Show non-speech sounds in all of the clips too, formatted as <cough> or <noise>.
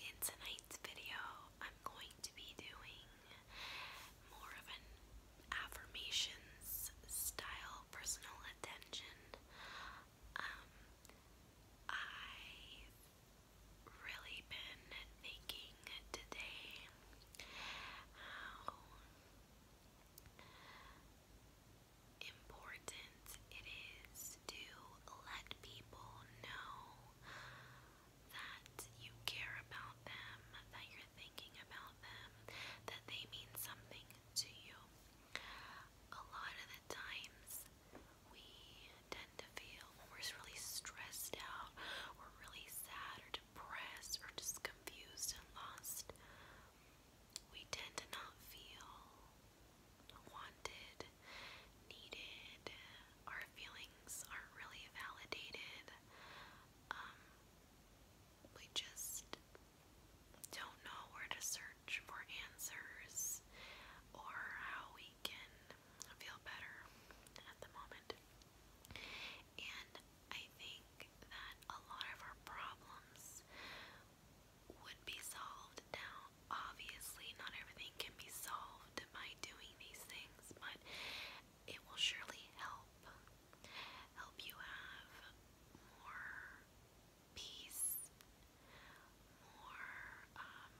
In tonight's video, I'm going to be doing more of an affirmations style personal attention. Um, I've really been thinking today how important it is to let people know that you care about them, that you're thinking about them, that they mean something to you. A lot of the times, we tend to feel we're really stressed out, or really sad, or depressed, or just confused and lost, we tend to not feel wanted, needed, our feelings aren't really validated. Um, we just don't know where to search for answers or how we can feel better at the moment. And I think that a lot of our problems would be solved. Now, obviously, not everything can be solved by doing these things, but it will surely help. Help you have more peace, more um,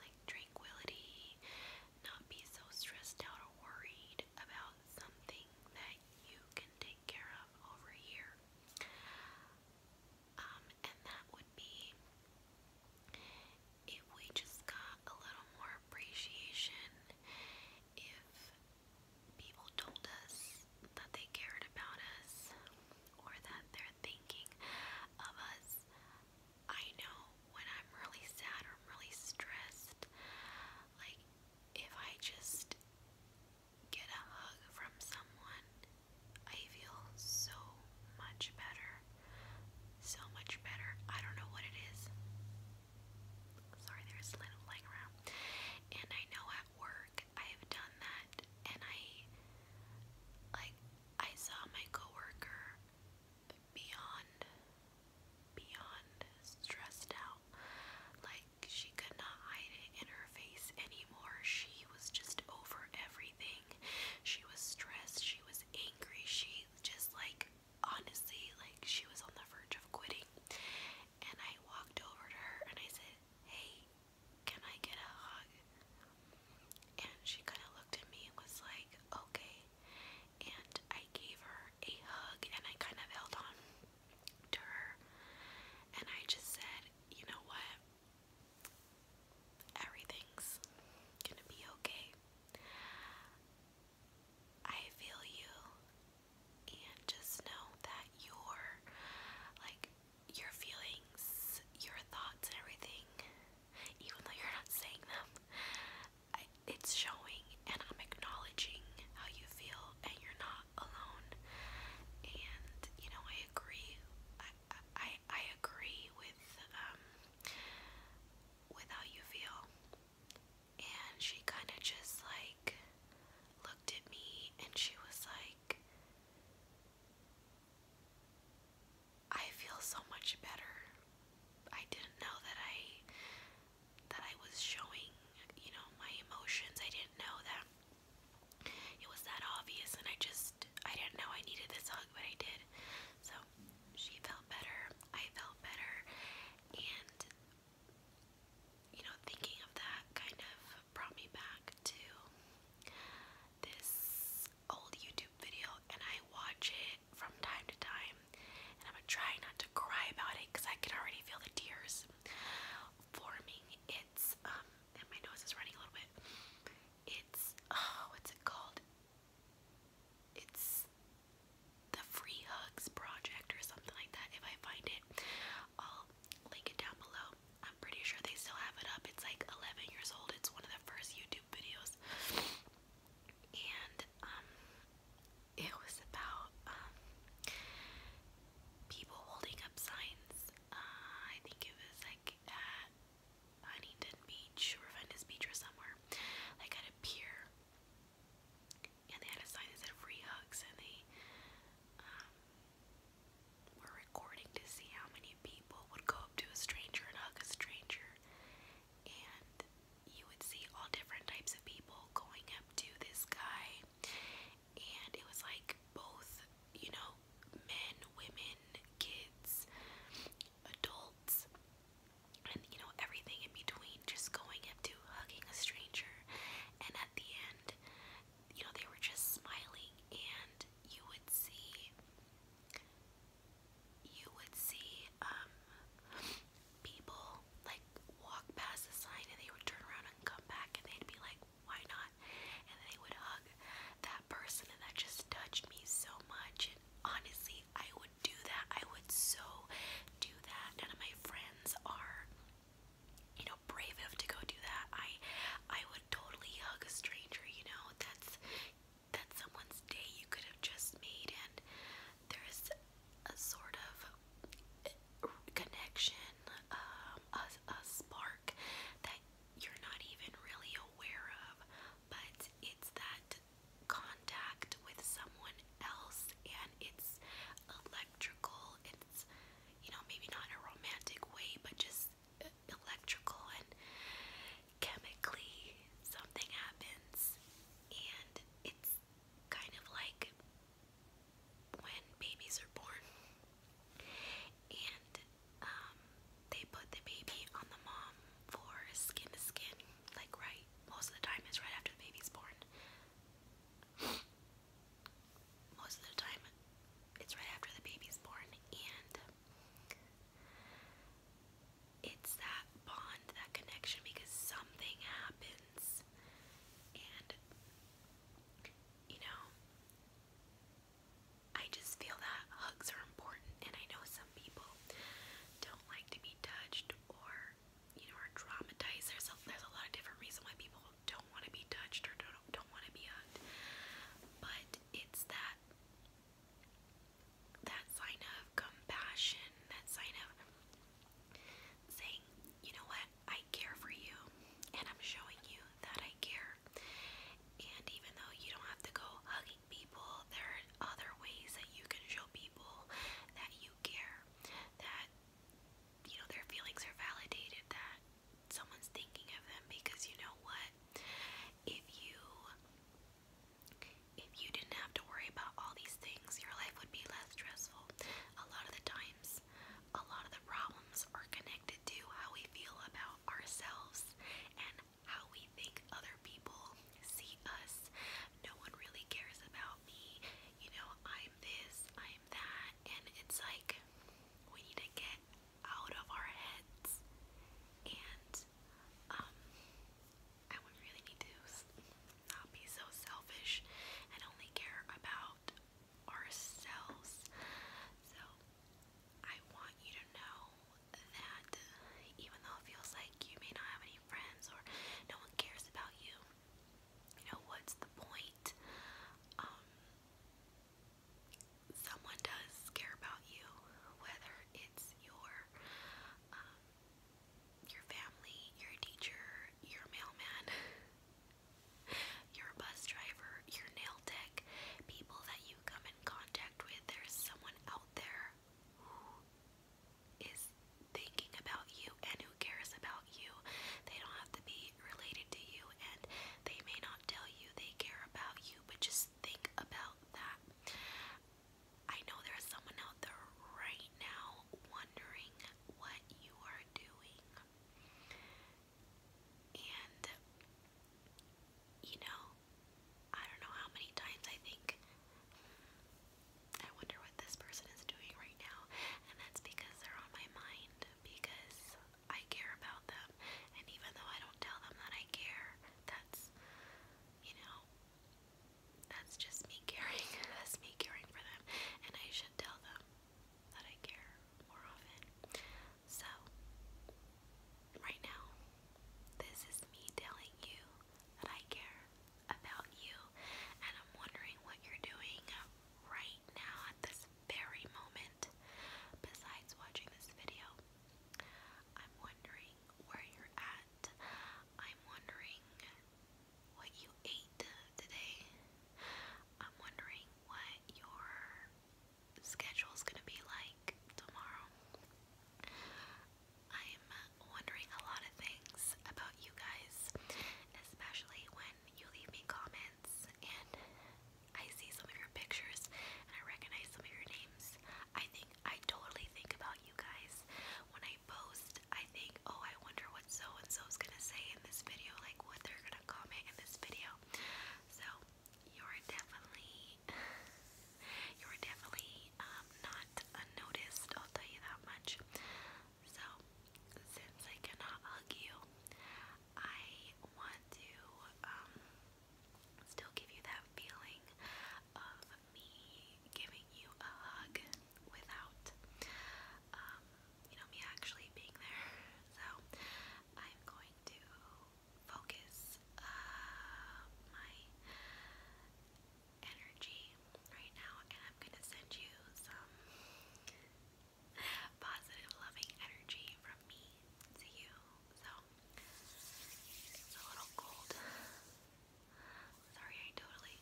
like tranquility, not be so stressed out or worried about something that you can take care of over here. Um, and that would be if we just got a little more appreciation, if people told us that they cared about us or that they're thinking of us. I know when I'm really sad or I'm really stressed, like if I just get a hug from someone, I feel so much better. So much better. I don't know what it is. Sorry, there's a little around. And I know at work I have done that, and I like I saw my coworker beyond beyond stressed out. Like she could not hide it in her face anymore. She was just over everything. She was stressed. She was angry. She just like honestly, like she was on the verge of quitting. And I walked over to her and I said, Hey, can I get a hug? And she kind of looked at me and was like, Okay. And I gave her a hug and I kind of held on to her. And I just said, you know what? Everything's gonna be okay. I feel you, and just know that your, like, your feelings, your thoughts, and everything, even though you're not saying them, it's showing, and I'm acknowledging how you feel, and you're not alone. And you know, I agree. I I agree with um, with how you feel. And she kind of just like looked at me and she was like I feel so much better. I didn't know that I that I was showing, you know, my emotions. I didn't know that it was that obvious, and I just, I didn't know I needed this hug, but I did. So she felt better, I felt better, and you know, thinking of that kind of brought me back to this old YouTube video, and I watch it from time to time. And I'm gonna try not to cry about it because I can already feel the tears forming. It's, um, my nose is running a little bit. It's, oh, what's it called? It's the Free Hugs Project or something like that. If I find it, I'll link it down below. I'm pretty sure they still have it up. It's like 11 years old. It's one of the first YouTube videos. And um it was about um, people holding up signs. Uh, I think it was like at Huntington Beach or Venice Beach or somewhere, like at a pier, and they had a sign that said free hugs, and they um, were recording to see how many people would go up to a stranger and hug a stranger and you would see all different types of people going up to this guy, and it was like both, you know, men, women, kids, adults, and you know, everything in between, just going up to hugging a stranger, and at the end, you know, they were just smiling, and you would see. You would see um, people like walk past the sign and they would turn around and come back and they'd be like, why not? And they would hug that person and that just touched me so much. And honestly, I would do that. I would so do that. None of my friends are, you know, brave enough to go do that. I I would totally hug a stranger, you know, that's that's someone's day you could have just made and there's a sort of connection, um, a, a spark that you're not even really aware of, but it's that contact with someone else, and it's electrical. It's, you know, maybe not a romantic way, but just electrical, and chemically something happens, and it's kind of like when babies are born, and um, they put the baby on the mom for skin to skin, like right most of the time it's right after the baby's born. Most of the time, it's right after the baby's born, and it's that bond, that connection, because something happens. And, you know, I just feel that hugs are important. And I know some people don't like to be touched or, you know, are traumatized. There's there's a lot of different reasons why people don't want to be touched or don't, don't want to be hugged. But it's that that sign of compassion, that sign of saying, you know what, I care for you, and I'm showing you that I care. And even though you don't have to go hugging people, there are other ways that you can show people that you care, that you know their feelings are validated, that someone's thinking of them because you know what? If you if you didn't have to worry about all these things, your life would be less stressful. A lot of the times, a lot of the problems are connected to how we feel about ourselves and how we think other people see us. No one really cares about me. You know, I'm this, I'm that. And it's like we need to get out of our heads and um, I would really need to not be so selfish and only care about ourselves. So, I want you to know that even though it feels like you may not have any friends or no one cares about you, you know, what's the point? Um, someone does care about you, whether it's your um, your family, your teacher, your mailman, <laughs> your bus driver, your nail tech, people that you come in contact with. There's someone out there who is thinking about you and who cares about you. They don't have to be related to you and they may not tell you they care about you, but just think about that. I know there is someone out there right now wondering what you are doing. And, you know, I don't know how many times I think, I wonder what this person is doing right now. And that's because they're on my mind. Because I care about them, and even though I don't tell them that I care, that's you know, that's just me caring. <laughs> that's me caring for them, and I should tell them that I care more often. So, right now, this is me telling you that I care about you, and I'm wondering what you're doing right now at this very moment besides watching this video. I'm wondering where you're at. I'm wondering what you ate today. I'm wondering what your schedule's gonna be like tomorrow. I'm wondering a lot of things about you guys, especially when you leave me comments and I see some of your pictures and I recognize some of your names. I think I totally think about you guys when I post. I think, oh, I wonder what so and so is gonna say in this video, like what they're gonna comment in this video. So you're definitely, <laughs> you're definitely um, not unnoticed. I'll tell you that much. So since I cannot hug you, I want to um, still give you that feeling of me giving you a hug without, um, you know, me actually being there. So I'm going to focus uh, my energy right now, and I'm gonna send you some <laughs> positive, loving energy from me to you. So it's a little cold. Sorry, I totally,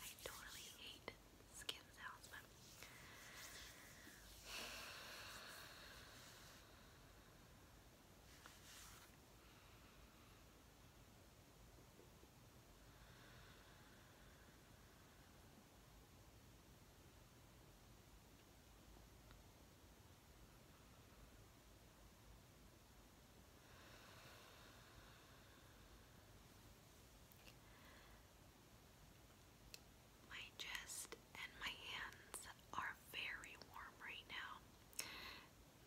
I totally hate skin sounds, my chest and my hands are very warm right now.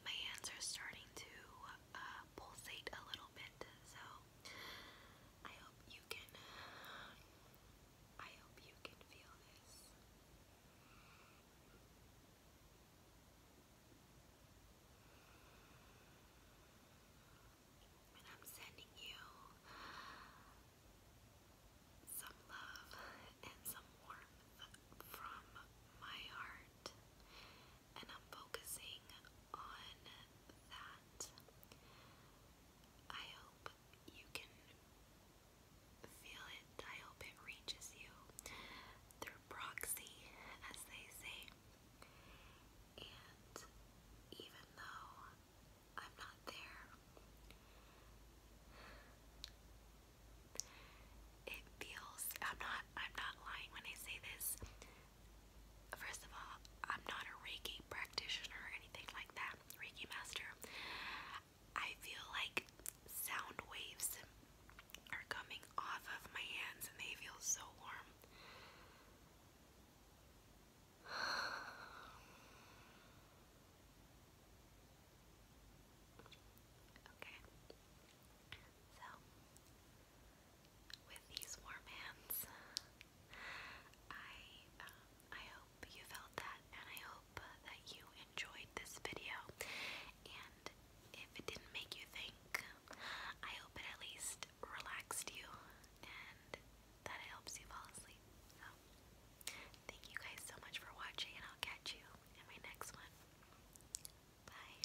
My hands are starting to uh, pulsate a little bit, so I hope you can I hope you can feel this. And I'm sending you some love and some warmth from my heart. And I'm focusing on that I hope you can feel it. I hope it reaches you through proxy, as they say. And even though I'm not there, it feels I'm not I'm not lying when I say this. First of all, I'm not a Reiki practitioner or anything like that, Reiki master. I feel like sound waves are coming off of my hands and they feel so warm. <sighs> Okay. So, with these warm hands. I um, I hope you felt that, and I hope that you enjoyed this video. And if it didn't make you think, I hope it at least relaxed you and that it helps you fall asleep. So, thank you guys so much for watching, and I'll catch you in my next one. Bye.